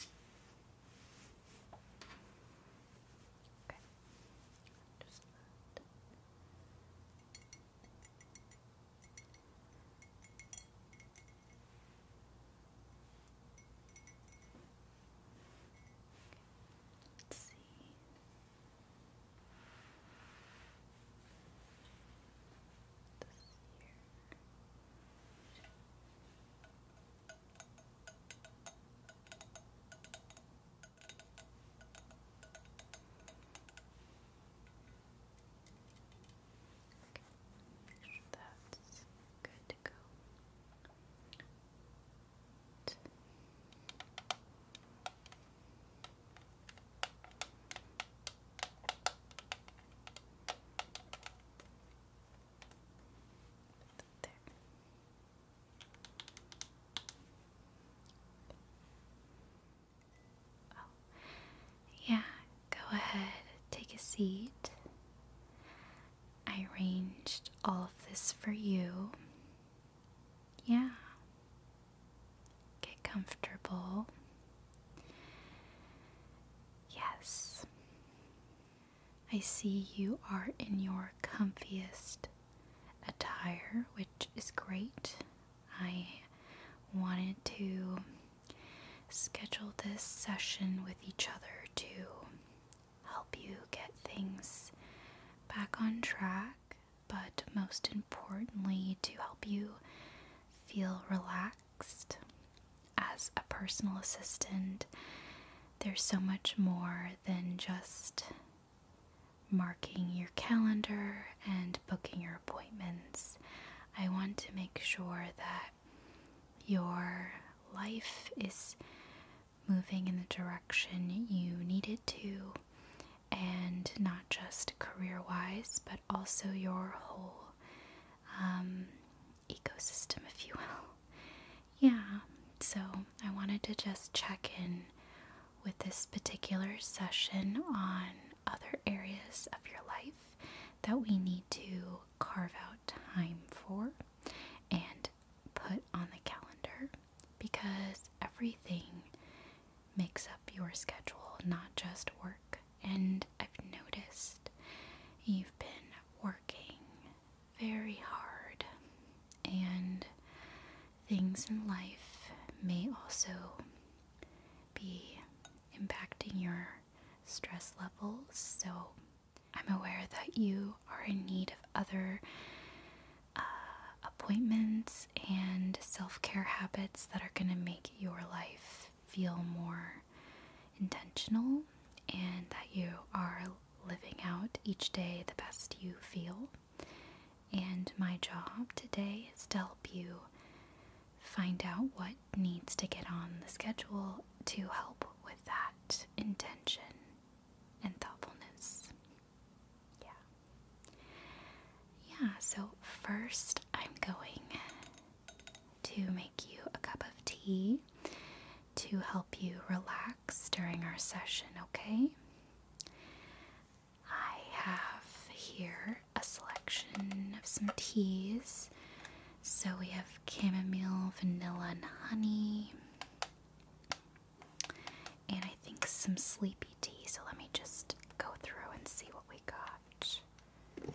Okay. Just that. Let's see. Okay this year. Okay, make sure that's good to go. Okay. Oh, yeah, go ahead, take a seat. I arranged all of this for you. Yeah. Get comfortable. Yes, I see you are in your comfiest attire, which is great. I wanted to schedule this session with each other to help you get things back on track, but most importantly, to help you feel relaxed as a personal assistant, there's so much more than just marking your calendar and booking your appointments. I want to make sure that your life is moving in the direction you need it to, and not just career wise, but also your whole um, ecosystem, if you will. Yeah, so I wanted to just check in with this particular session on other areas of your life that we need to carve out time for and put on the calendar because everything makes up your schedule, not just work and I've noticed you've been working very hard, and things in life may also be impacting your stress levels. So I'm aware that you are in need of other uh, appointments and self care habits that are going to make your life feel more intentional and that you are living out each day the best you feel. And my job today is to help you find out what needs to get on the schedule to help with that intention and thoughtfulness. Yeah. Yeah, so first I'm going to make you a cup of tea to help you relax during our session, okay? I have here a selection of some teas. So we have chamomile, vanilla, and honey. And I think some sleepy tea. So let me just go through and see what we got.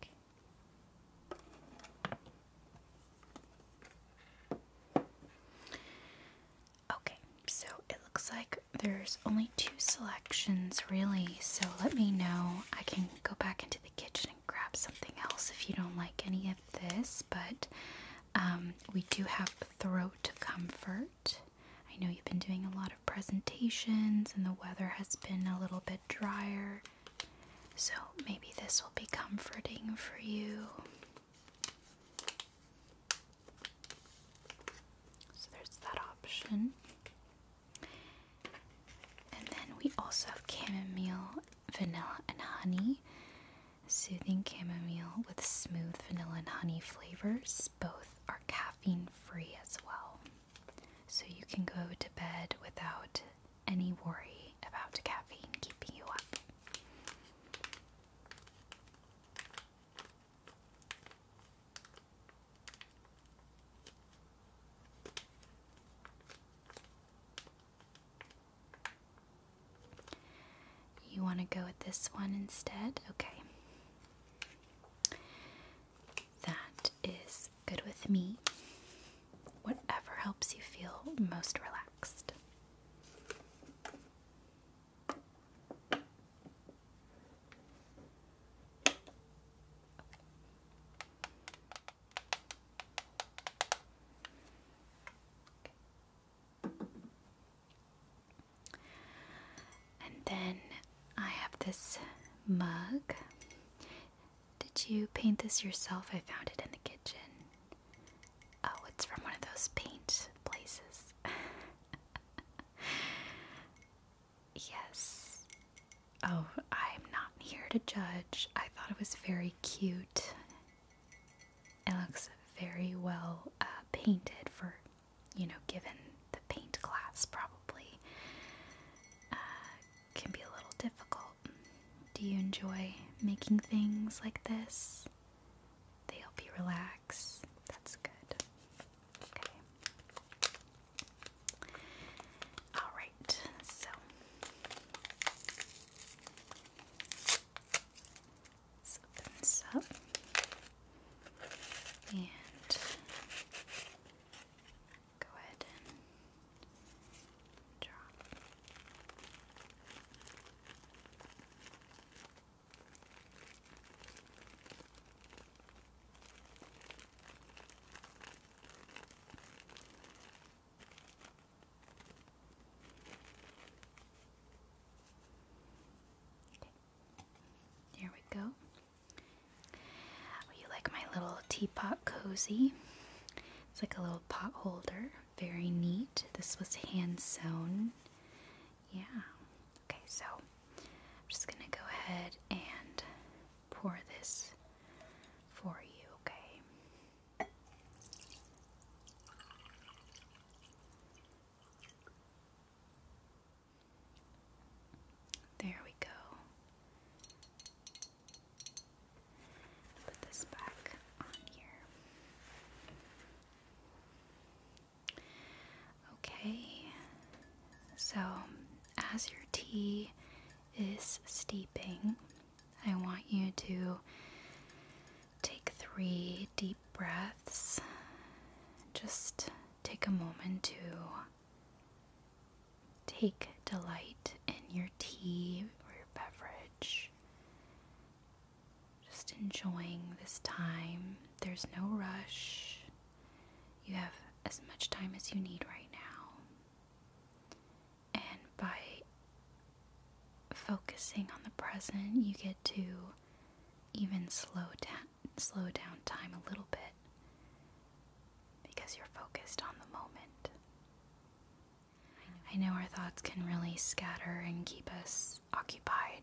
Okay. okay, so it looks like there's only two selections really, so let me know. I can go back into the kitchen and grab something else if you don't like any of this, but um, we do have throat comfort. I know you've been doing a lot of presentations and the weather has been a little bit drier. So maybe this will be comforting for you. So there's that option. And then we also have chamomile, vanilla, and honey. Soothing chamomile with smooth vanilla and honey flavors. Both are caffeine free as well. So you can go to bed without any worry about caffeine keeping you up. You want to go with this one instead? Okay. That is good with me. Whatever helps you feel most relaxed. And then I have this mug. Did you paint this yourself? I found it in the kitchen. Oh, it's from one of those paint places. yes. Oh, I'm not here to judge. I thought it was very cute. It looks very well uh, painted for, you know, given the paint class, probably. Uh, can be a little difficult do you enjoy making things like this? They help you relax. That's good. Okay. All right. So Let's open this up and go ahead and draw. Okay. There we go. you like my little teapot cozy? It's like a little pot holder. Very neat. This was hand sewn. Yeah. Okay, so I'm just going to go ahead and pour this for you, okay? There we go. Put this back on here. Okay, so as your tea is steeping, I want you to take three deep breaths. Just take a moment to Take delight in your tea or your beverage. Just enjoying this time. There's no rush. You have as much time as you need right now. And by focusing on the present, you get to even slow down, slow down time a little bit because you're focused on the moment. I know our thoughts can really scatter and keep us occupied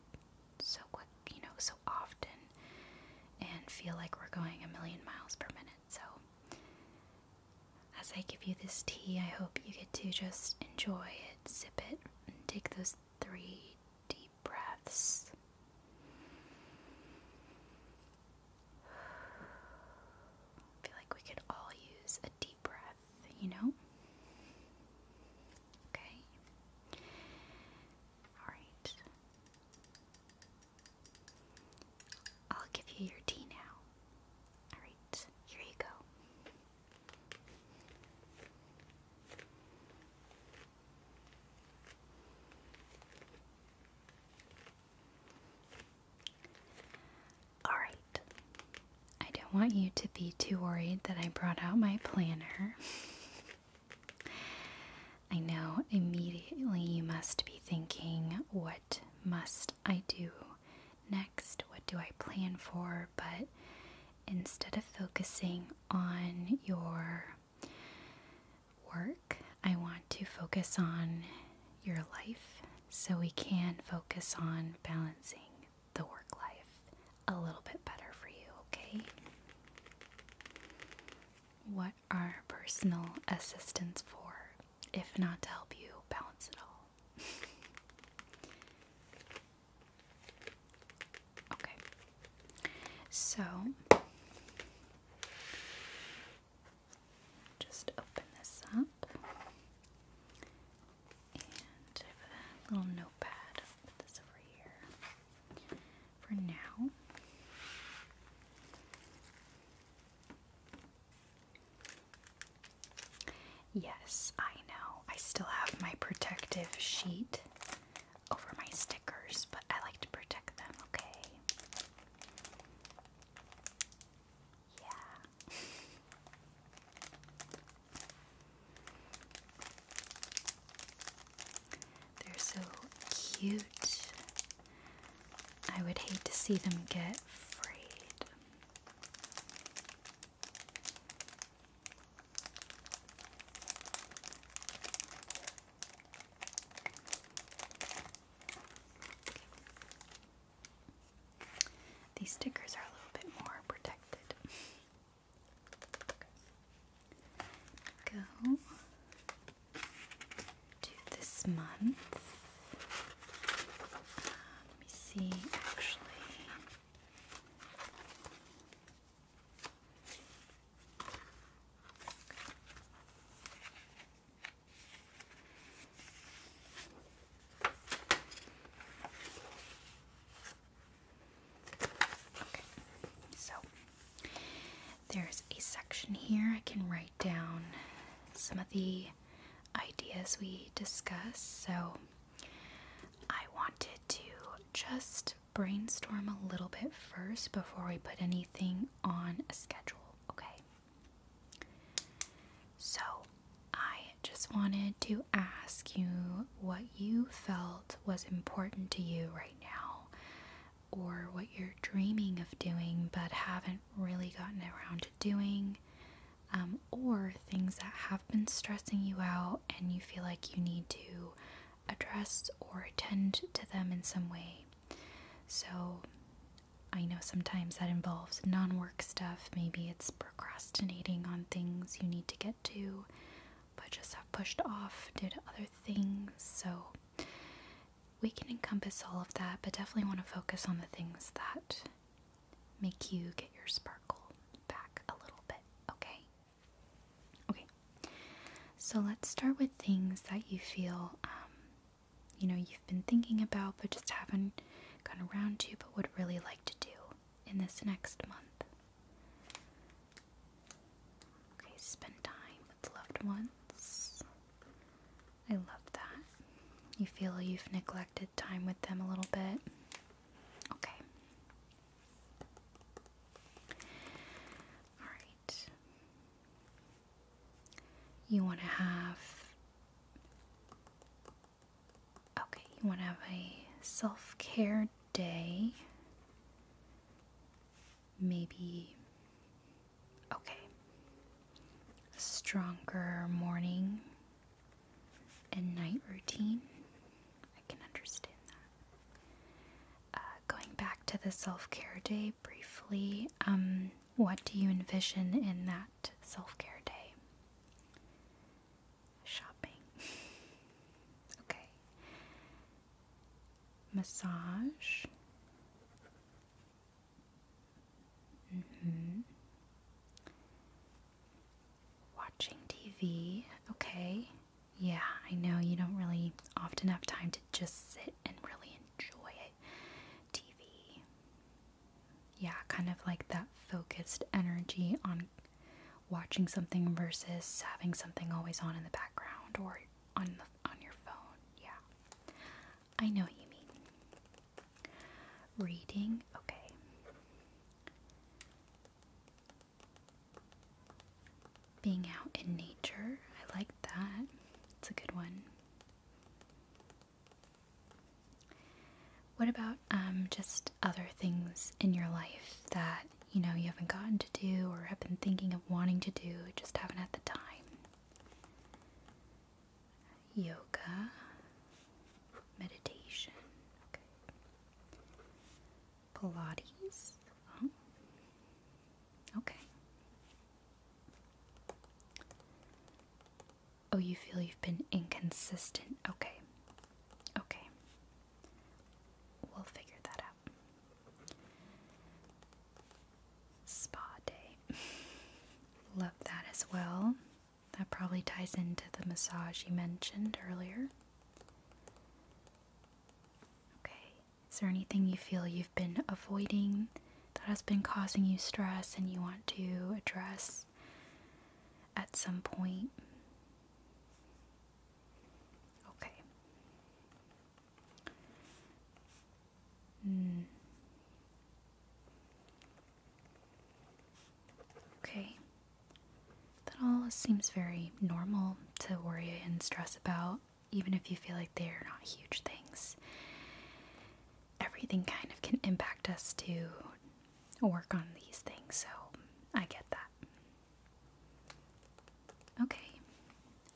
so quick, you know, so often, and feel like we're going a million miles per minute. So, as I give you this tea, I hope you get to just enjoy it, sip it, and take those three deep breaths. I feel like we could all use a deep breath, you know? Okay. Alright. I'll give you your tea now. Alright, here you go. Alright. I don't want you to be too worried that I brought out my planner. I know immediately you must be thinking, what must I do next? What do I plan for? But instead of focusing on your work, I want to focus on your life so we can focus on balancing the work life a little bit better for you, okay? What are personal assistants for if not to help you balance it all? okay, so just open this up and a little notepad. put this over here for now. Yes, I know. I still have my protective sheet over my stickers, but I like to protect them, okay? Yeah. They're so cute. I would hate to see them get frayed. These stickers are a little bit more protected. Go to this month. Um, let me see, actually so there's a section here I can write down some of the ideas we discuss. So I wanted to just brainstorm a little bit first before we put anything on a schedule, okay? So, I just wanted to ask you what you felt was important to you right now, or what you're dreaming of doing but haven't really gotten around to doing, um, or things that have been stressing you out and you feel like you need to address or attend to them in some way. So, I know sometimes that involves non work stuff. Maybe it's procrastinating on things you need to get to, but just have pushed off did other things. So we can encompass all of that, but definitely want to focus on the things that make you get your sparkle back a little bit, okay? Okay, so let's start with things that you feel um, you know you've been thinking about but just haven't gotten around to but would really like to do in this next month. Okay, spend time with loved ones. I love that. You feel you've neglected time with them a little bit. Okay. Alright. You want to have Okay, you want to have a self care day. Maybe, okay, stronger morning and night routine. I can understand that. Uh, going back to the self care day briefly, um, what do you envision in that Self Care Day? Shopping. okay. Massage. Mm-hmm. Watching TV. Okay. Yeah, I know you don't really often have time to just sit and really enjoy it. TV yeah, kind of like that focused energy on watching something versus having something always on in the background or on the, on your phone. Yeah. I know what you mean. Reading, okay. Being out in nature, I like that. It's a good one. What about um, just other things in your life that you know you haven't gotten to do or have been thinking of wanting to do, just haven't had the time? Yoga, meditation, Pilates. Oh, okay. Oh, you feel you've been inconsistent. Okay. Okay. We'll figure that out. Spa day. Love that as well. That probably ties into the massage you mentioned earlier. Okay. Is there anything you feel you've been avoiding that has been causing you stress and you want to address at some point. Okay. Mm. Okay. That all seems very normal to worry and stress about, even if you feel like they are not huge things everything kind of can impact us to work on these things, so I get that. Okay,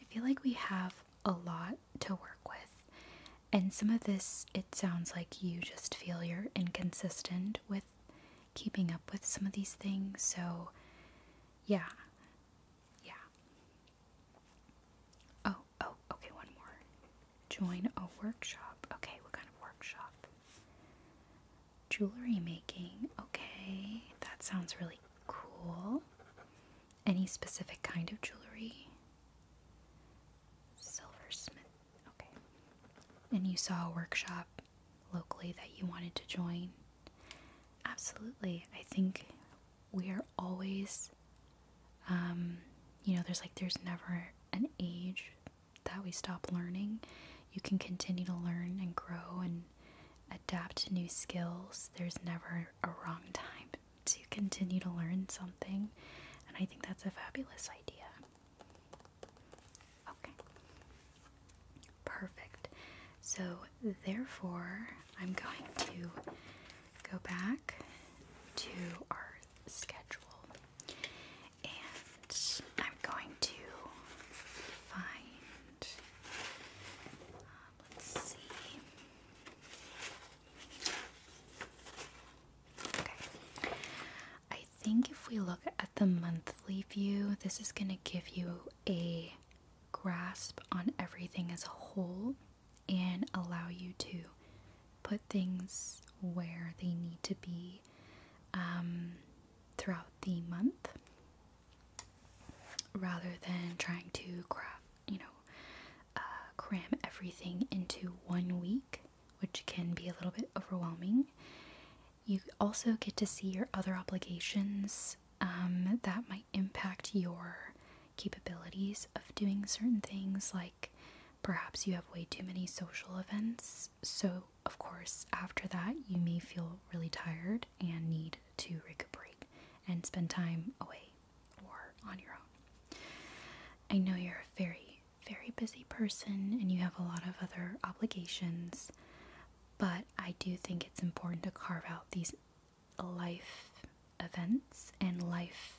I feel like we have a lot to work with, and some of this it sounds like you just feel you're inconsistent with keeping up with some of these things, so yeah. Yeah. Oh, oh, okay, one more. Join a workshop. Okay, what kind of workshop? Jewelry making. Okay, that sounds really cool. Any specific kind of jewelry? Silversmith. Okay. And you saw a workshop locally that you wanted to join? Absolutely. I think we are always um, you know, there's like, there's never an age that we stop learning. You can continue to learn and grow and adapt new skills. There's never a wrong time to continue to learn something. And I think that's a fabulous idea. Okay. Perfect. So, therefore, I'm going to go back to our schedule, and I'm going to find. Uh, let's see. Okay. I think if we look at the monthly view, this is going to give you a grasp on everything as a whole and allow you to put things where they need to be um, throughout the month rather than trying to uh, cram everything into one week, which can be a little bit overwhelming. You also get to see your other obligations um, that might impact your capabilities of doing certain things like Perhaps you have way too many social events, so of course, after that, you may feel really tired and need to recuperate and spend time away or on your own. I know you're a very, very busy person and you have a lot of other obligations, but I do think it's important to carve out these life events and life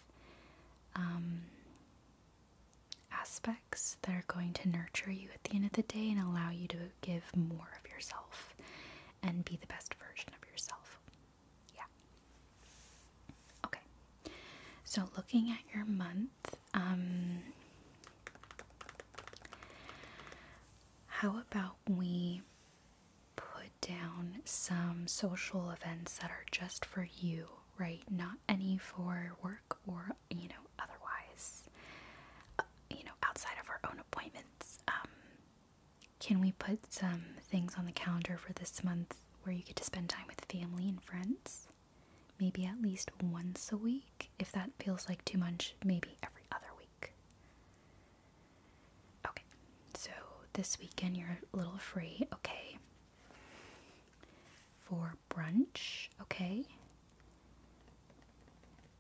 um, aspects that are going to nurture you at the end of the day and allow you to give more of yourself and be the best version of yourself. Yeah. Okay. So, looking at your month, um, how about we put down some social events that are just for you, right? Not any for work or you know otherwise uh, you know outside of our own appointments um, can we put some things on the calendar for this month where you get to spend time with family and friends maybe at least once a week if that feels like too much maybe every other week okay so this weekend you're a little free okay for brunch, okay?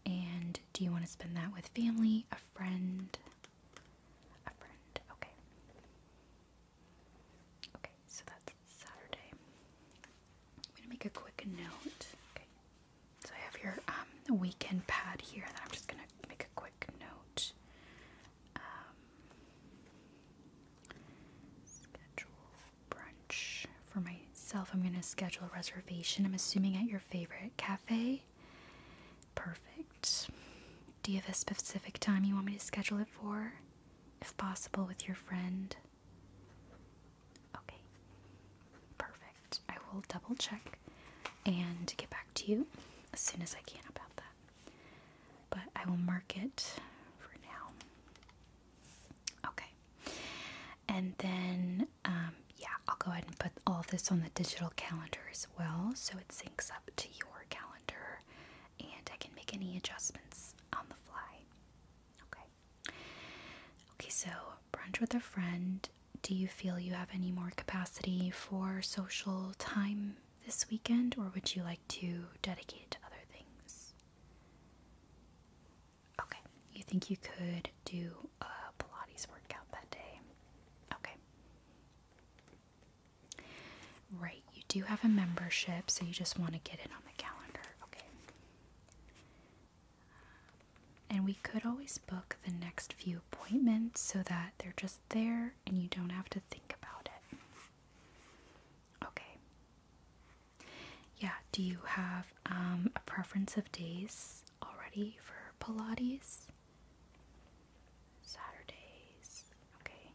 And do you want to spend that with family, a friend? A friend, okay. Okay, so that's Saturday. I'm going to make a quick note. Okay. So I have your um, weekend pad here that I'm just going to make a quick note. Um, Schedule brunch for myself. I'm gonna schedule a reservation. I'm assuming at your favorite cafe. Perfect. Do you have a specific time you want me to schedule it for? If possible, with your friend. Okay. Perfect. I will double check and get back to you as soon as I can about that. But I will mark it for now. Okay. And then, um, yeah, I'll go ahead and put all this on the digital calendar as well so it syncs up to your calendar and I can make any adjustments on the fly. Okay. Okay, so brunch with a friend. Do you feel you have any more capacity for social time this weekend, or would you like to dedicate it to other things? Okay, you think you could do a Pilates workout that day? Okay. Right, you do have a membership, so you just want to get it on the calendar. Okay. And we could always book the next few appointments so that they're just there and you don't have to think about it. Okay. Yeah, do you have um, a preference of days already for Pilates? Saturdays, okay.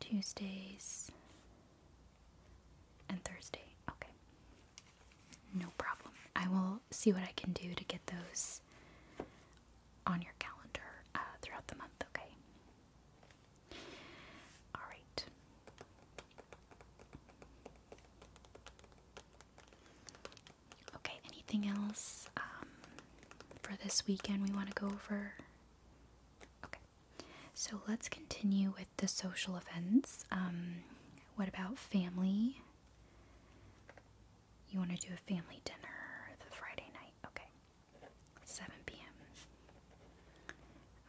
Tuesdays and Thursday, okay. No problem. I will see what I can do to get those on your calendar uh, throughout the month, okay? All right. Okay, anything else um, for this weekend we want to go over? Okay, so let's continue with the social events. Um, what about family? You want to do a family dinner the Friday night? Okay. 7 p.m.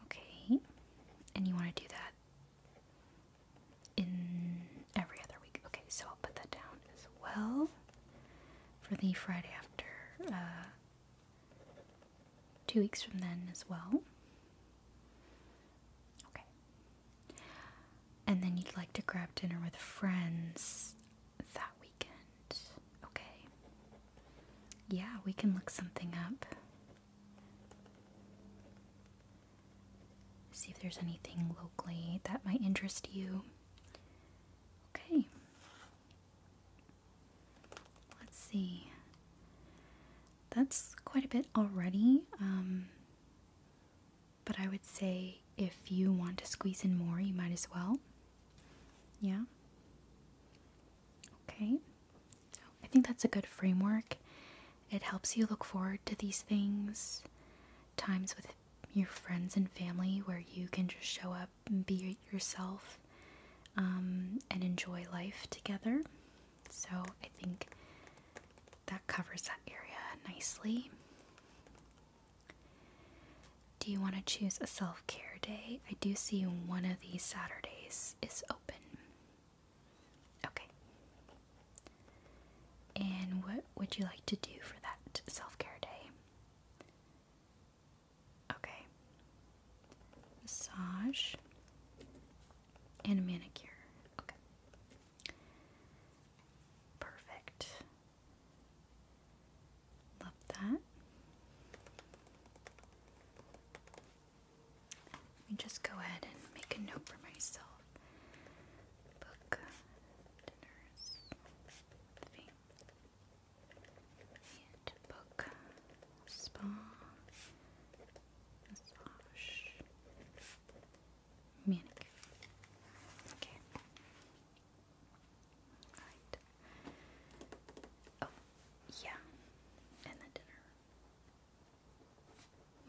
Okay, and you want to do that in every other week. Okay, so I'll put that down as well for the Friday after uh, two weeks from then as well. Okay, and then you'd like to grab dinner with friends that weekend. Okay. Yeah, we can look something up. See if there's anything locally that might interest you. Okay. Let's see. That's quite a bit already. Um, but I would say if you want to squeeze in more, you might as well. Yeah? Okay. I think that's a good framework. It helps you look forward to these things, times with your friends and family where you can just show up and be yourself um, and enjoy life together. So I think that covers that area nicely. Do you want to choose a self care day? I do see one of these Saturdays is open. Okay. And what would you like to do for that self care day? Okay. Massage and manicure. Okay. Perfect. Love that. Let me just go ahead and make a note for myself. Book dinners theme and book spa massage manicure. Okay. Right. Oh, yeah. And the dinner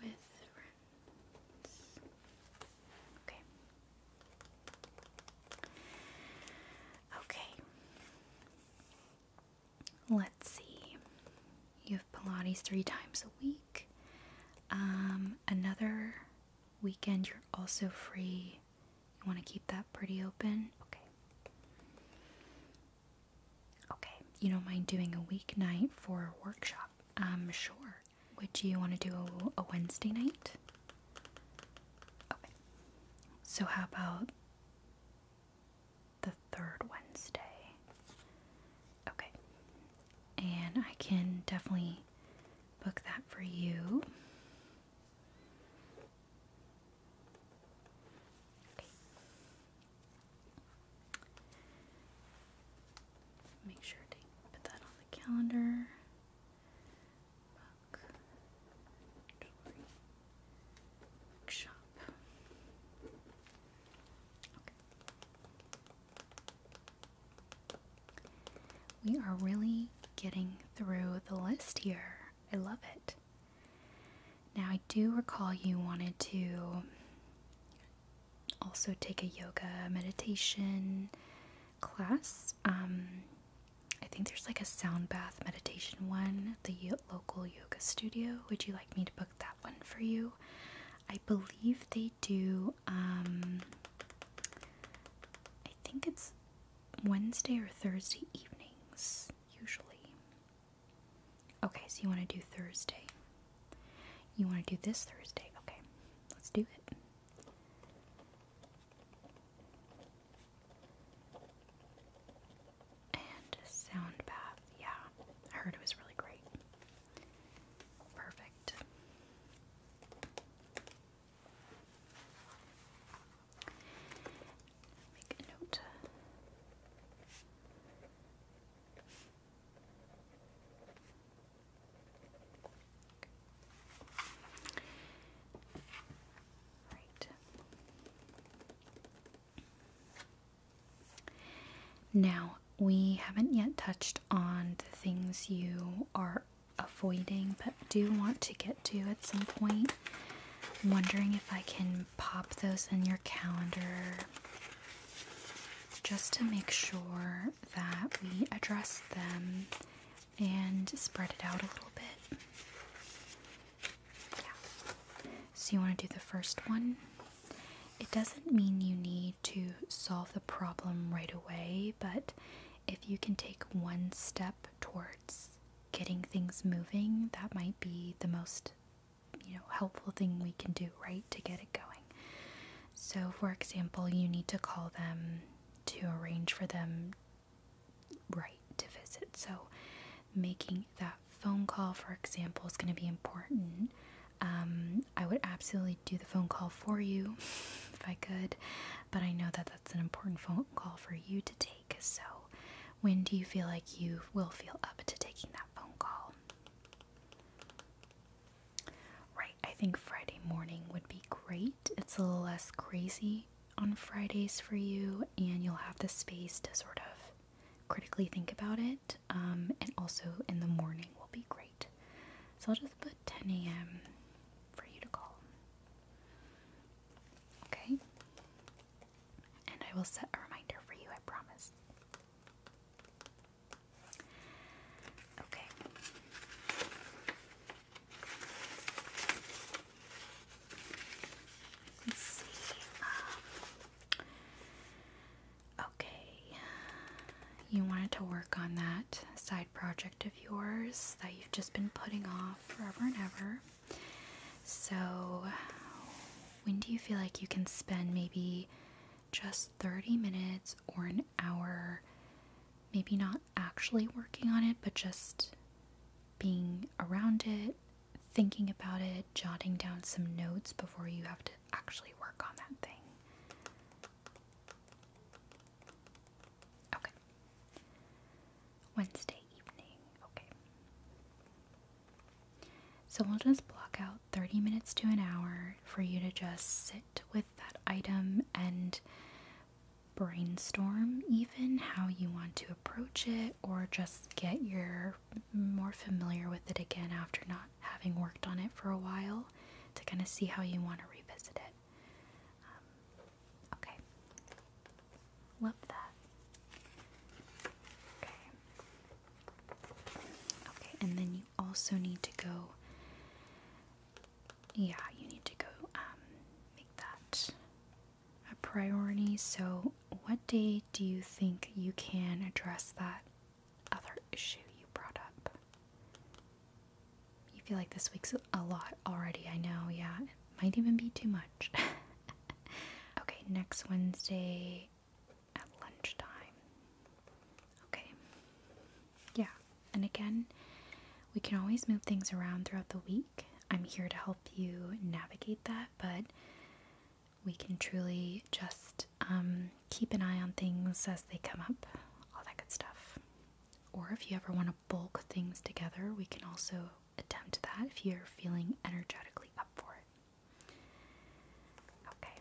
with friends. Okay. Okay. Let's see. You have Pilates three times a week. Um, another weekend, you're also free you want to keep that pretty open? Okay. Okay. You don't mind doing a week night for a workshop? am sure. Would you want to do a Wednesday night? Okay. So, how about the third Wednesday? Okay. And I can definitely book that for you. Make sure to put that on the calendar. Book, We are really getting through the list here. I love it. Now, I do recall you wanted to also take a yoga meditation class. Um, I think there's like a sound bath meditation one at the local yoga studio. Would you like me to book that one for you? I believe they do, um, I think it's Wednesday or Thursday evenings usually. Okay, so you want to do Thursday. You want to do this Thursday. Okay, let's do it. And sound bath. Yeah, I heard it was really great. Perfect. Make a note. Right. Now, we haven't yet touched on the things you are avoiding, but do want to get do at some point. wondering if I can pop those in your calendar just to make sure that we address them and spread it out a little bit. So you want to do the first one? It doesn't mean you need to solve the problem right away, but if you can take one step toward getting things moving, that might be the most you know helpful thing we can do right to get it going. So for example, you need to call them to arrange for them right to visit. So making that phone call for example is going to be important. Um, I would absolutely do the phone call for you if I could, but I know that that's an important phone call for you to take. So when do you feel like you will feel up to taking that phone call? Right, I think Friday morning would be great. It's a little less crazy on Fridays for you, and you'll have the space to sort of critically think about it. Um, and also in the morning will be great. So I'll just put 10 a.m. for you to call. Okay. And I will set a reminder for you, I promise. Okay. Let's see. Um, okay. You wanted to work on that side project of yours that you've just been putting off forever and ever. So, when do you feel like you can spend maybe just 30 minutes or an hour, maybe not actually working on it, but just being around it, thinking about it, jotting down some notes before you have to actually work on that thing? Okay. Wednesday evening. Okay. So we'll just block out 30 minutes to an hour for you to just sit with that item and brainstorm even how you want to approach it or just get your more familiar with it again after not having worked on it for a while to kind of see how you want to revisit it. Um, Okay. Love that. Okay. Okay, and then you also need to go. Yeah, you need to go um, make that a priority. So, what day do you think you can address that other issue you brought up? You feel like this week's a lot already. I know, yeah. It might even be too much. okay, next Wednesday at lunchtime. Okay. Yeah, and again, we can always move things around throughout the week. I'm here to help you navigate that, but we can truly just um, keep an eye on things as they come up, all that good stuff. Or if you ever want to bulk things together, we can also attempt that if you're feeling energetically up for it. Okay.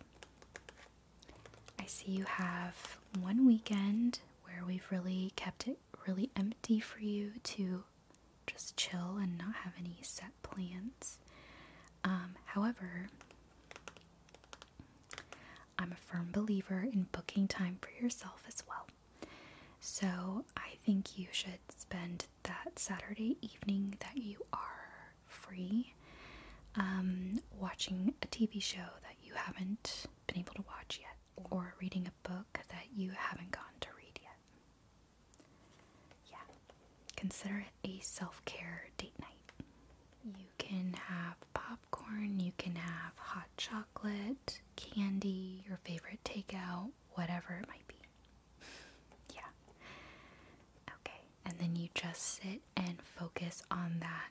I see you have one weekend where we've really kept it really empty for you to just chill and not have any set plans. Um, however, I'm a firm believer in booking time for yourself as well. So I think you should spend that Saturday evening that you are free um, watching a TV show that you haven't been able to watch yet or reading a book that you haven't gone to read yet. Yeah, consider it a self care date night. You can have popcorn, you can have hot chocolate, candy, your favorite takeout, whatever it might be. yeah. Okay. And then you just sit and focus on that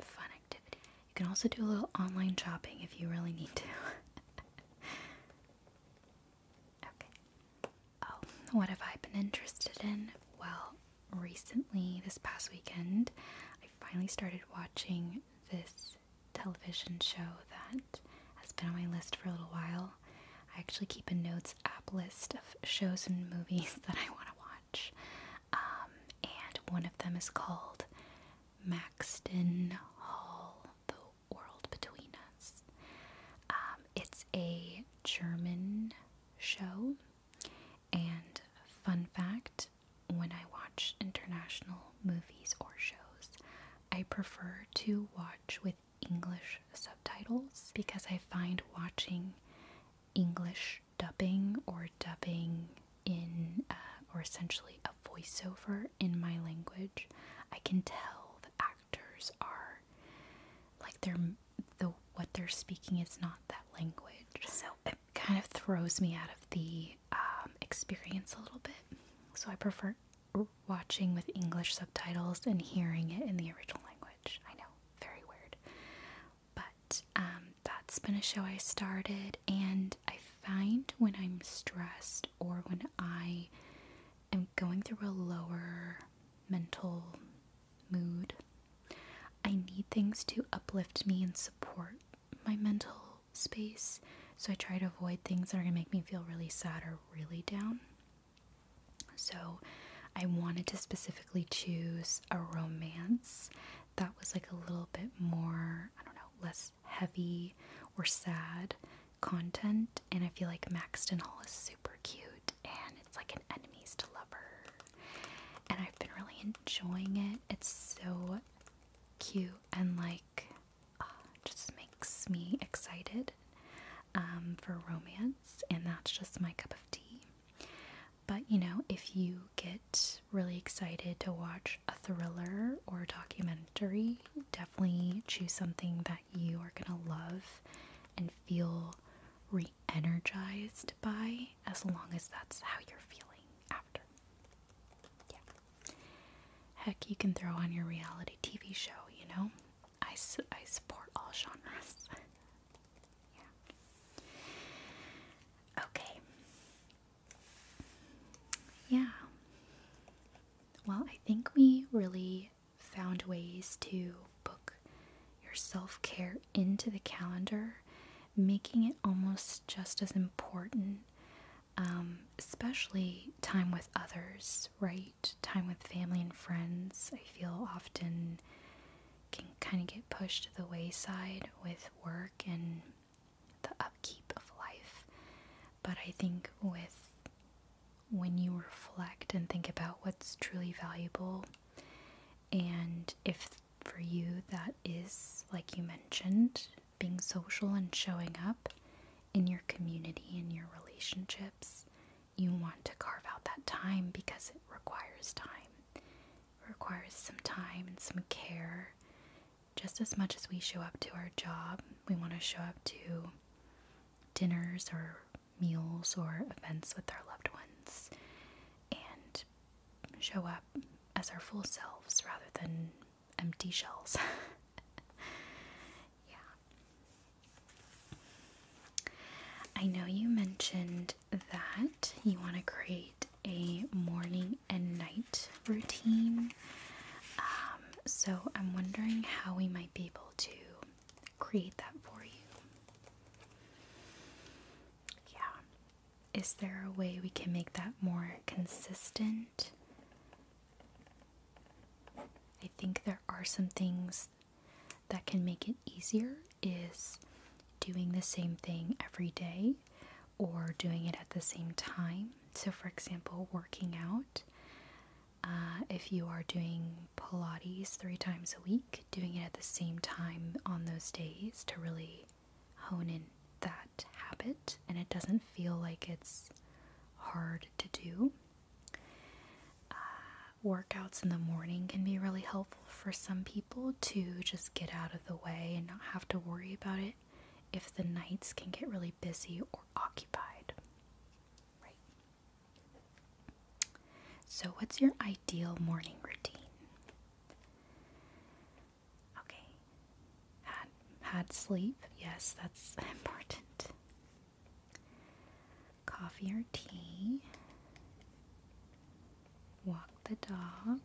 fun activity. You can also do a little online shopping if you really need to. okay. Oh, what have I been interested in? Well, recently, this past weekend, I finally started watching this television show that has been on my list for a little while. I actually keep a notes app list of shows and movies that I want to watch. Um, and one of them is called Maxton Hall The World Between Us. Um, it's a German show. And fun fact when I watch international movies or shows, I prefer to watch with English subtitles because I find watching English dubbing or dubbing in, uh, or essentially a voiceover in my language, I can tell the actors are like they're the what they're speaking is not that language, so it kind of throws me out of the um, experience a little bit. So I prefer watching with English subtitles and hearing it in the original language. I know, very weird. But um, that's been a show I started, and I find when I'm stressed or when I am going through a lower mental mood, I need things to uplift me and support my mental space. So I try to avoid things that are going to make me feel really sad or really down. So I wanted to specifically choose a romance that was like a little bit more, I don't know, less heavy or sad content. And I feel like Maxton Hall is super cute and it's like an enemies to lover. And I've been really enjoying it. It's so cute and like uh, just makes me excited um, for romance, and that's just my cup of tea. But you know, if you get really excited to watch a thriller or documentary, definitely choose something that you are gonna love and feel re energized by, as long as that's how you're feeling after. Yeah. Heck, you can throw on your reality TV show, you know? I, I support all genres. yeah. Okay. Yeah. Well, I think we really found ways to book your self care into the calendar, making it almost just as important um, especially time with others, right? Time with family and friends, I feel often can kind of get pushed to the wayside with work and the upkeep of life. But I think with when you reflect and think about what's truly valuable, and if for you that is, like you mentioned, being social and showing up, in your community, in your relationships. You want to carve out that time because it requires time. It requires some time and some care. Just as much as we show up to our job, we want to show up to dinners or meals or events with our loved ones and show up as our full selves rather than empty shells. Yeah. I know you mentioned that you want to create a morning and night routine. Um, so I'm wondering how we might be able to create that for you. Yeah. Is there a way we can make that more consistent? I think there are some things that can make it easier is doing the same thing every day or doing it at the same time. So, for example, working out. Uh, if you are doing Pilates three times a week, doing it at the same time on those days to really hone in that habit and it doesn't feel like it's hard to do. Uh, workouts in the morning can be really helpful for some people to just get out of the way and not have to worry about it if the nights can get really busy or occupied. Right. So, what's your ideal morning routine? Okay. Had had sleep. Yes, that's important coffee or tea, walk the dog.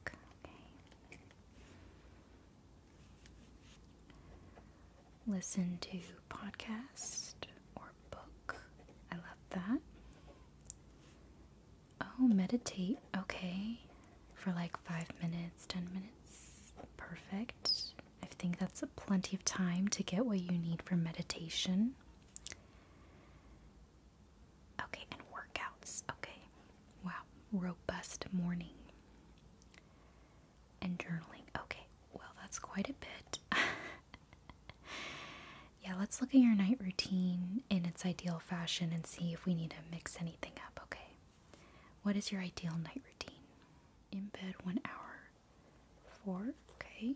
Listen to podcast or book. I love that. Oh, meditate. Okay. For like five minutes, ten minutes. Perfect. I think that's plenty of time to get what you need for meditation. Okay, and workouts. Okay. Wow, robust morning. And journaling. Okay, well, that's quite a bit. yeah, let's look at your night routine in its ideal fashion and see if we need to mix anything up, okay? What is your ideal night routine? In bed one hour Four, okay.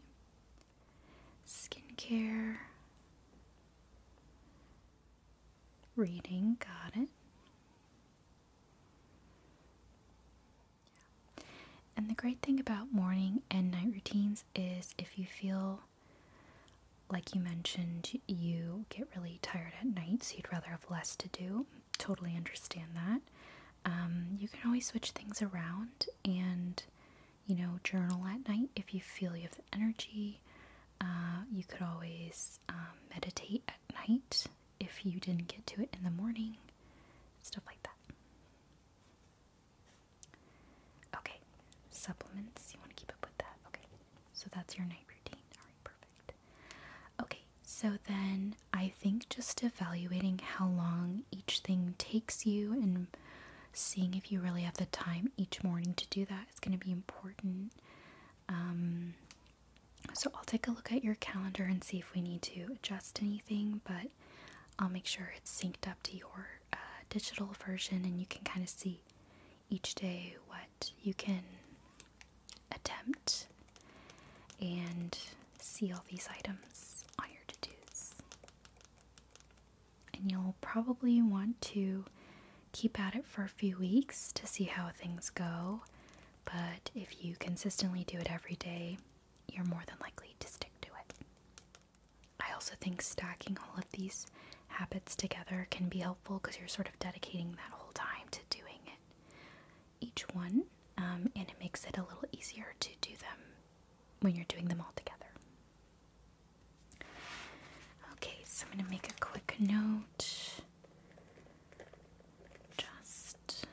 Skincare. Reading, got it. And the great thing about morning and night routines is if you feel like you mentioned, you get really tired at night, so you'd rather have less to do totally understand that. Um, you can always switch things around and, you know, journal at night if you feel you have the energy. Uh, you could always um, meditate at night if you didn't get to it in the morning, stuff like that. Okay, supplements. You want to keep up with that. Okay, so that's your night routine. All right, perfect. Okay, so then I think just evaluating how long each thing takes you and seeing if you really have the time each morning to do that is going to be important. Um, so I'll take a look at your calendar and see if we need to adjust anything, but I'll make sure it's synced up to your uh, digital version and you can kind of see each day what you can attempt and see all these items on your to dos. And you'll probably want to keep at it for a few weeks to see how things go, but if you consistently do it every day, you're more than likely to stick to it. I also think stacking all of these habits together can be helpful because you're sort of dedicating that whole time to doing it each one, um, and it makes it a little easier to do them when you're doing them all together. Okay, so I'm going to make a quick note. Just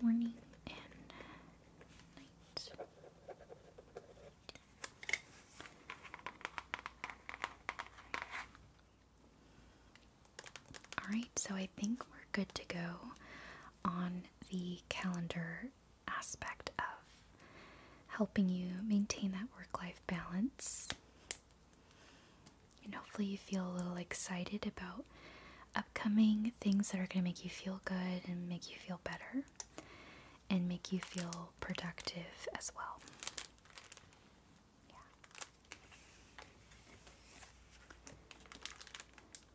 morning and night. Alright, so I think we're good to go on the calendar aspect of helping you maintain that work life balance. And hopefully, you feel a little excited about upcoming things that are going to make you feel good and make you feel better and make you feel productive as well. Yeah. Okay,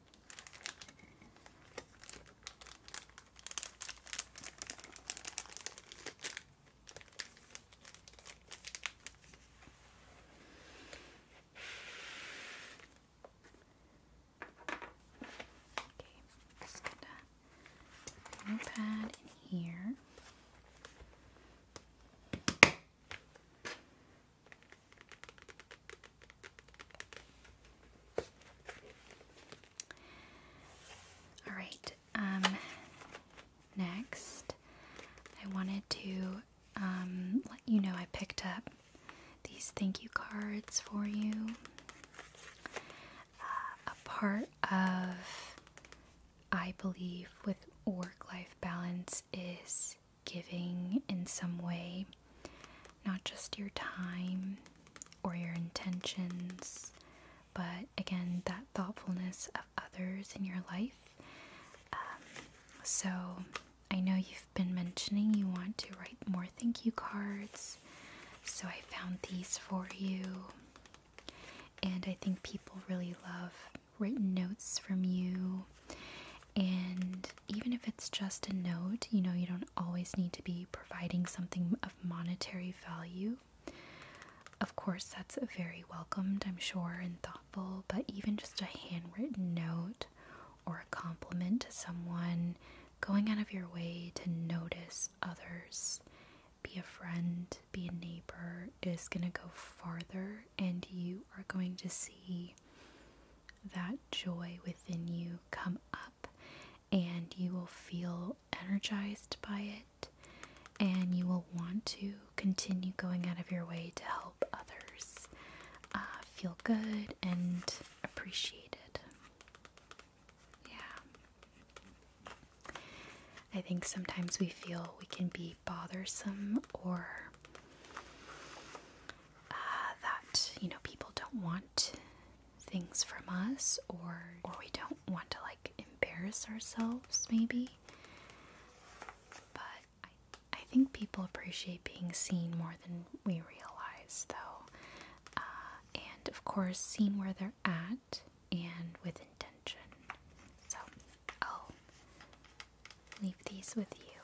just gonna put my pad in here. All right. Um, next, I wanted to um, let you know I picked up these thank you cards for you. Uh, a part of I believe with work life balance is giving in some way, not just your time or your intentions, but again, that thoughtfulness of others in your life. Um, so, I know you've been mentioning you want to write more thank you cards, so I found these for you. And I think people really love written notes from you and even if it's just a note, you know, you don't always need to be providing something of monetary value. Of course, that's very welcomed, I'm sure, and thoughtful, but even just a handwritten note or a compliment to someone, going out of your way to notice others, be a friend, be a neighbor, is going to go farther, and you are going to see that joy within you come up, and you will feel energized by it, and you will want to continue going out of your way to help others uh, feel good and appreciated. Yeah. I think sometimes we feel we can be bothersome or uh, that you know people don't want things from us or or we don't want to like embarrass ourselves maybe but I, think people appreciate being seen more than we realize though uh, and of course seen where they're at and with intention so I'll leave these with you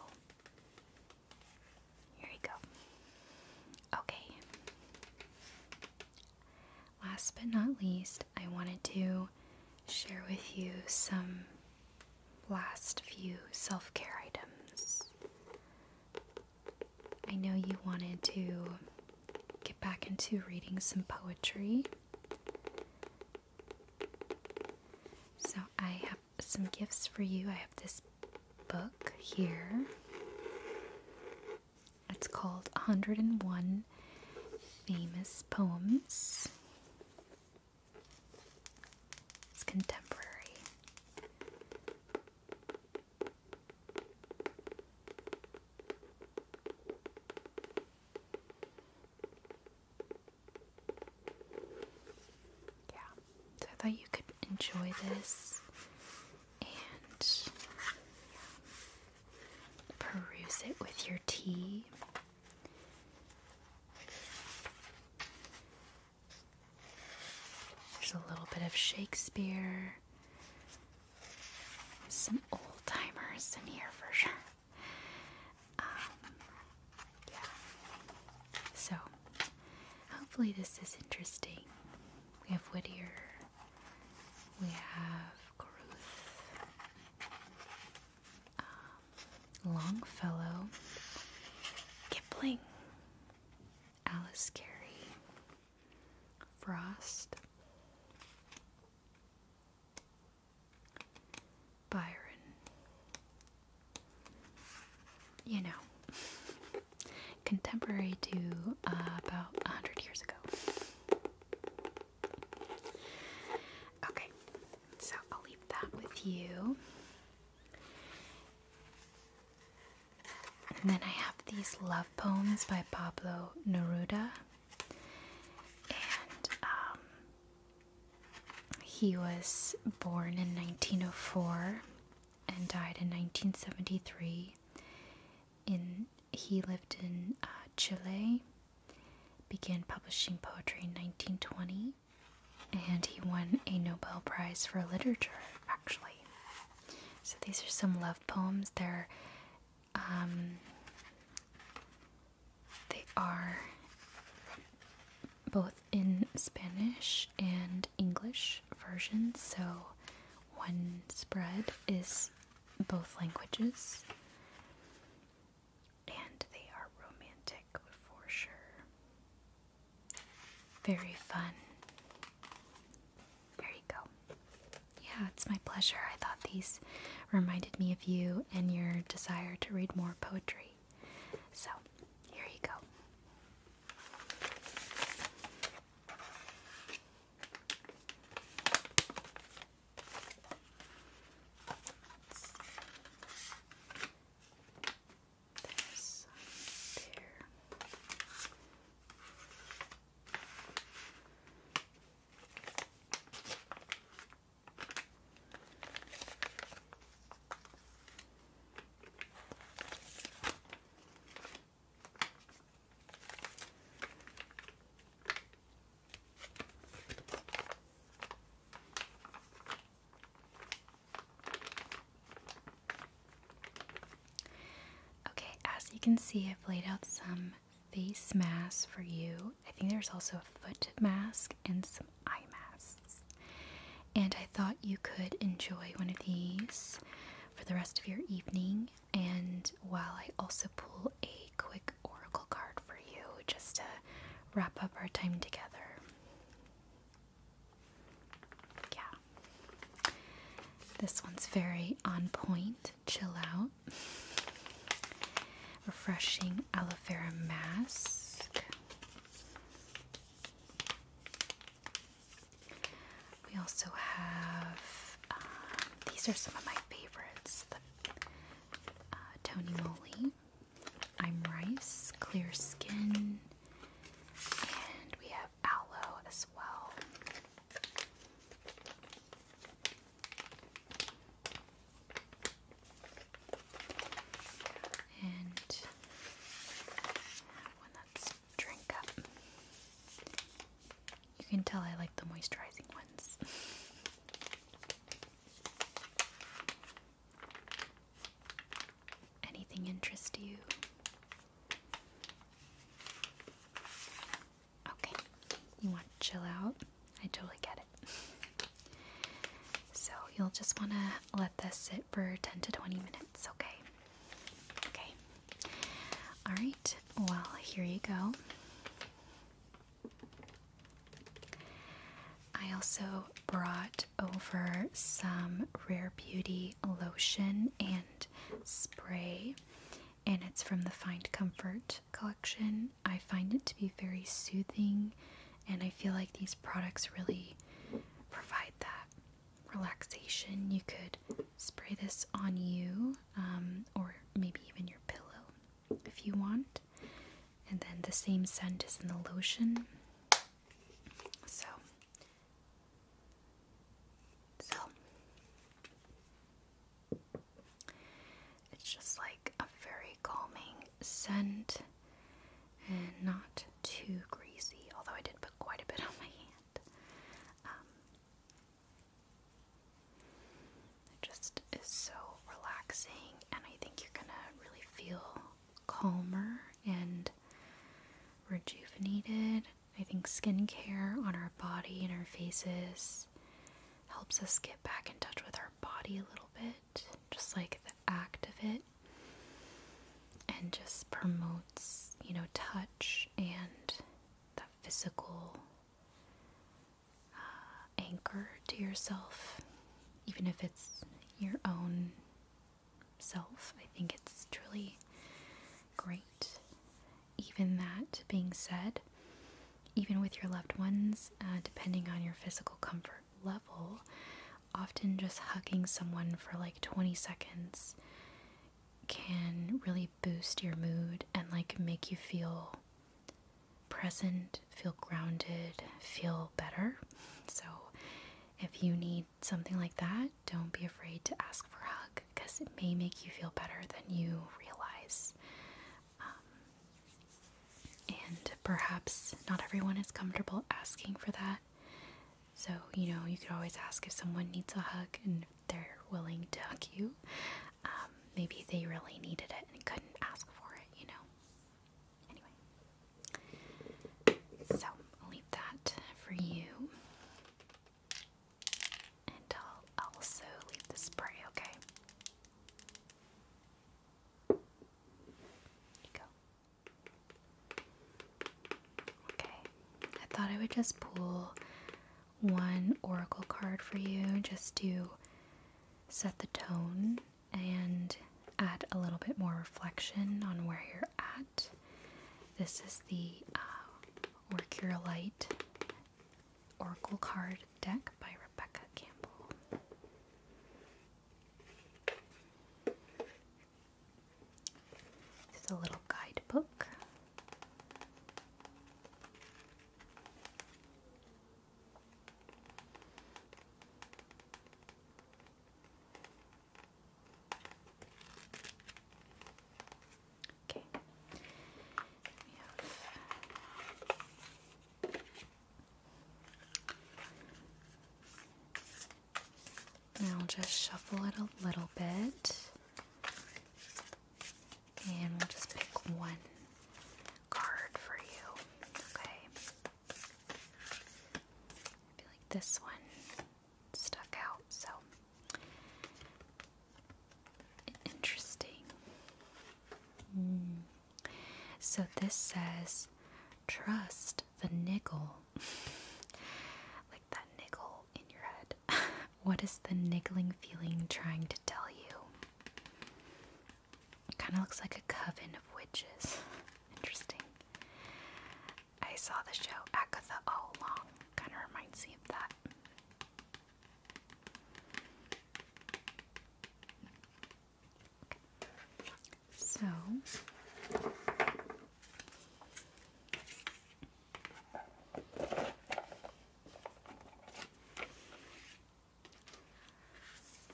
here you go. Okay. Last but not least, I wanted to share with you some last few self care items. I know you wanted to get back into reading some poetry. So I have some gifts for you. I have this book here. It's called 101 Famous Poems. It's contemporary. Yeah, so I thought you could enjoy this and peruse it with your tea. There's a little bit of Shakespeare. Some old timers in here for sure. Um, yeah. So, hopefully, this is interesting. We have Whittier, we have Caruth, um, Longfellow, Kipling, Alice Carey, Frost. Byron, you know, contemporary to uh, about a hundred years ago. Okay, so I'll leave that with you. And then I have these love poems by Pablo Neruda. Um, he was born in 1904 and died in 1973. In he lived in uh, Chile, began publishing poetry in 1920, and he won a Nobel Prize for literature. Actually, so these are some love poems. They're um, they are both in Spanish and English versions, so one spread is both languages. And they are romantic for sure. Very fun. There you go. Yeah, it's my pleasure. I thought these reminded me of you and your desire to read more poetry. So, here you go. Okay, as you can see, I've laid out some face masks for you. I think there's also a foot mask and some eye masks. And I thought you could enjoy one of these for the rest of your evening. And while I also pull a quick oracle card for you, just to wrap up our time together. Yeah. This one's very on point. Chill out. Refreshing aloe vera mask. We also have, um, these are some of my favorites uh, Tony Moly, I'm Rice, Clear Skin, and we have Aloe as well. And one that's drink up. You can tell I like the moisturizing ones. Anything interest you? Okay, you want to chill out? I totally get it. So, you'll just want to let let this sit for 10 to 20 minutes, okay? Okay. All right. Well, here you go. I also brought over some Rare Beauty lotion and spray, and it's from the Find Comfort collection. I find it to be very soothing, and I feel like these products really provide that relaxation, you could spray this on you um, or maybe even your pillow if you want. And then the same scent is in the lotion. So, so it's just like a very calming scent and not too greasy, although I did put quite a bit on my hand. Um, it just is so relaxing, and I think you're gonna really feel calmer and rejuvenated. I think skincare on our body and our faces helps us get back in touch with our body a little bit, just like the act of it and just promotes, you know, touch and that physical uh, anchor to yourself, even if it's your own self. I think it's truly great. Even that being said, even with your loved ones, uh, depending on your physical comfort level, often just hugging someone for like 20 seconds can really boost your mood and like make you feel present, feel grounded, feel better. So if you need something like that, don't be afraid to ask for a hug because it may make you feel better than you realize. Um, and perhaps not everyone is comfortable asking for that. So, you know, you could always ask if someone needs a hug and if they're willing to hug you. Um, maybe they really needed it and couldn't ask for it, you know. Anyway, so I'll leave that for you. And I'll also leave the spray, okay? There you go. Okay, I thought I would just pull one oracle card for you just to set the tone and add a little bit more reflection on where you're at. This is the uh, Orcurolite Oracle Card Deck by Rebecca Campbell. This is a little guidebook. Okay. I'll just shuffle it a little bit. And we'll just pick one card for you. Okay. I feel like this one stuck out, so interesting. Hmm. So this says trust the niggle like that niggle in your head. what is the niggling feeling trying to tell you? kind of looks like a coven of witches. Interesting. I saw the show Agatha All Along. Kind of reminds me of that. So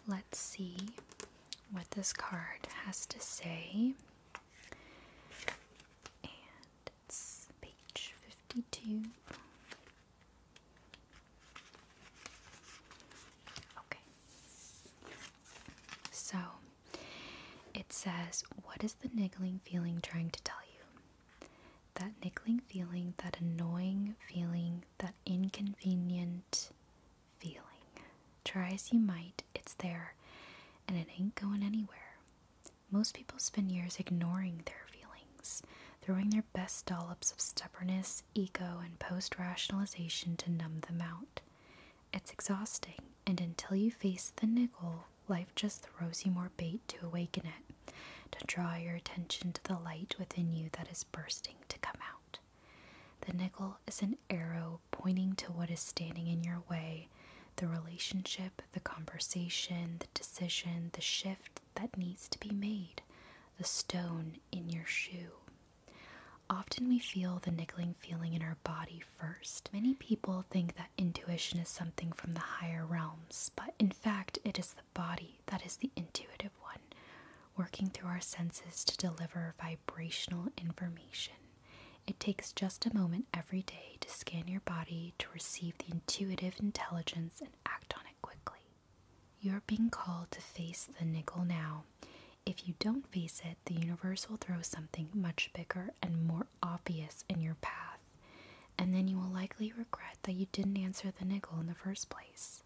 let's see what this card has to say. And it's page 52. Okay. So it says, What is the niggling feeling trying to tell you? That niggling feeling, that annoying feeling, that inconvenient feeling. Try as you might, it's there and it ain't going anywhere. Most people spend years ignoring their feelings, throwing their best dollops of stubbornness, ego, and post rationalization to numb them out. It's exhausting and until you face the nickel, life just throws you more bait to awaken it, to draw your attention to the light within you that is bursting to come out. The nickel is an arrow pointing to what is standing in your way the relationship, the conversation, the decision, the shift that needs to be made, the stone in your shoe. Often we feel the niggling feeling in our body first. Many people think that intuition is something from the higher realms, but in fact, it is the body that is the intuitive one, working through our senses to deliver vibrational information. It takes just a moment every day to scan your body to receive the intuitive intelligence and act on it quickly. You're being called to face the nickel now. If you don't face it, the universe will throw something much bigger and more obvious in your path, and then you will likely regret that you didn't answer the nickel in the first place.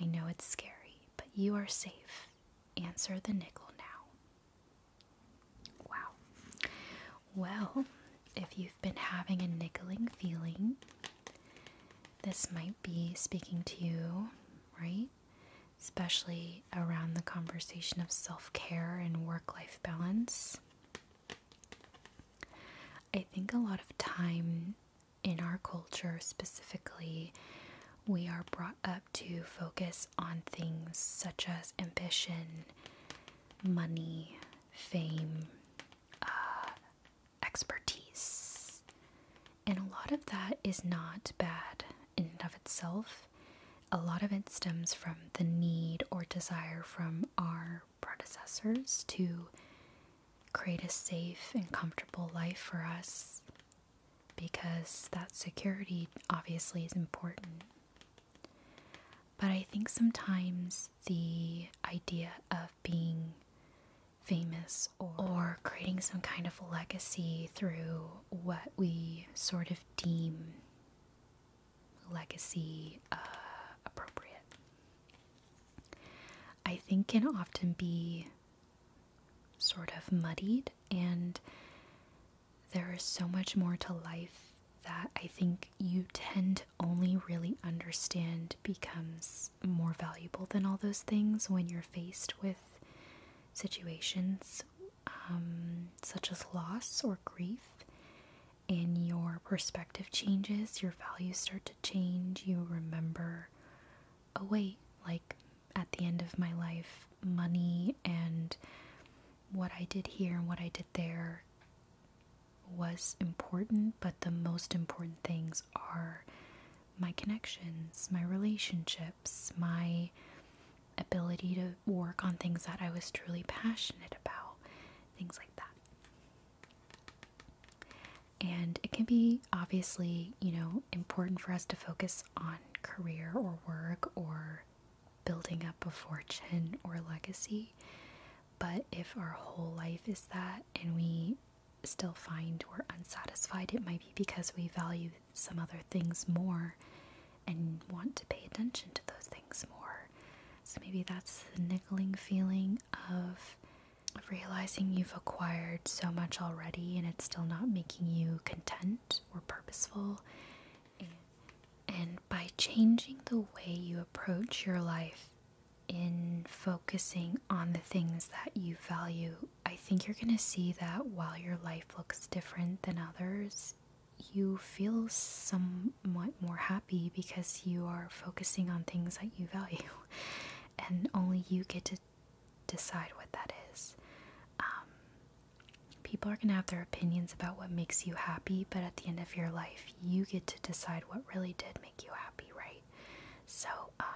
I know it's scary, but you are safe. Answer the nickel now. Wow. Well, if you've been having a nickeling feeling, this might be speaking to you, right? especially around the conversation of self care and work life balance. I think a lot of time in our culture, specifically, we are brought up to focus on things such as ambition, money, fame, uh, expertise. And a lot of that is not bad in and of itself. A lot of it stems from the need or desire from our predecessors to create a safe and comfortable life for us because that security obviously is important. But I think sometimes the idea of being famous or, creating some kind of legacy through what we sort of deem legacy uh, appropriate. I think can often be sort of muddied, and there is so much more to life that I think you tend to only really understand becomes more valuable than all those things when you're faced with situations um, such as loss or grief, and your perspective changes, your values start to change, you remember, oh, wait, like at the end of my life, money and what I did here and what I did there was important, but the most important things are my connections, my relationships, my ability to work on things that I was truly passionate about, things like that. And it can be obviously, you know, important for us to focus on career or work or building up a fortune or legacy. But if our whole life is that and we still find we're unsatisfied, it might be because we value some other things more and want to pay attention to those things more. So maybe that's the niggling feeling of realizing you've acquired so much already and it's still not making you content or purposeful. And by changing the way you approach your life in focusing on the things that you value, I think you're going to see that while your life looks different than others, you feel somewhat more happy because you are focusing on things that you value, and only you get to decide what that is. Um, people are going to have their opinions about what makes you happy, but at the end of your life, you get to decide what really did make you happy, right? So, um,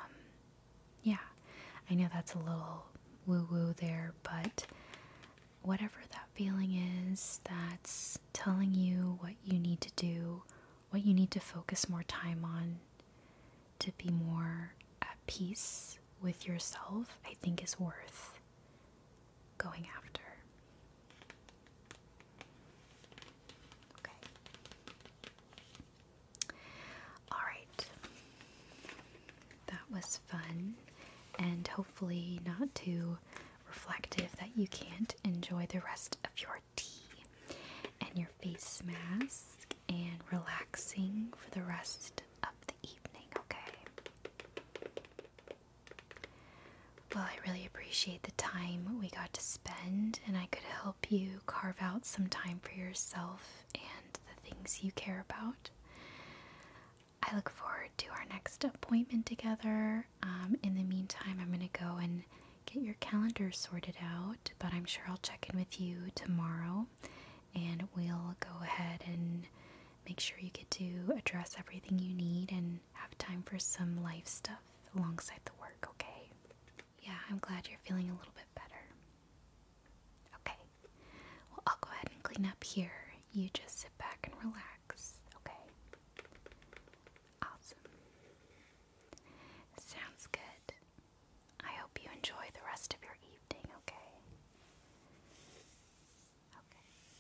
yeah, I know that's a little woo woo there, but whatever that feeling is that's telling you what you need to do, what you need to focus more time on to be more at peace with yourself, I think is worth going after. Okay. All right that was fun, and hopefully not too reflective that you can't enjoy the rest of your tea and your face mask and relaxing for the rest of the evening, okay? Well, I really appreciate the time we got to spend, and I could help you carve out some time for yourself and the things you care about. I look forward to our next appointment together. Um, in the meantime, I'm going to go and get your calendar sorted out, but I'm sure I'll check in with you tomorrow and we'll go ahead and make sure you get to address everything you need and have time for some life stuff alongside the work, okay? Yeah, I'm glad you're feeling a little bit better. Okay. Well, I'll go ahead and clean up here. You just sit back and relax. Okay. Sounds good. I hope you enjoy the rest of your evening, okay? Okay.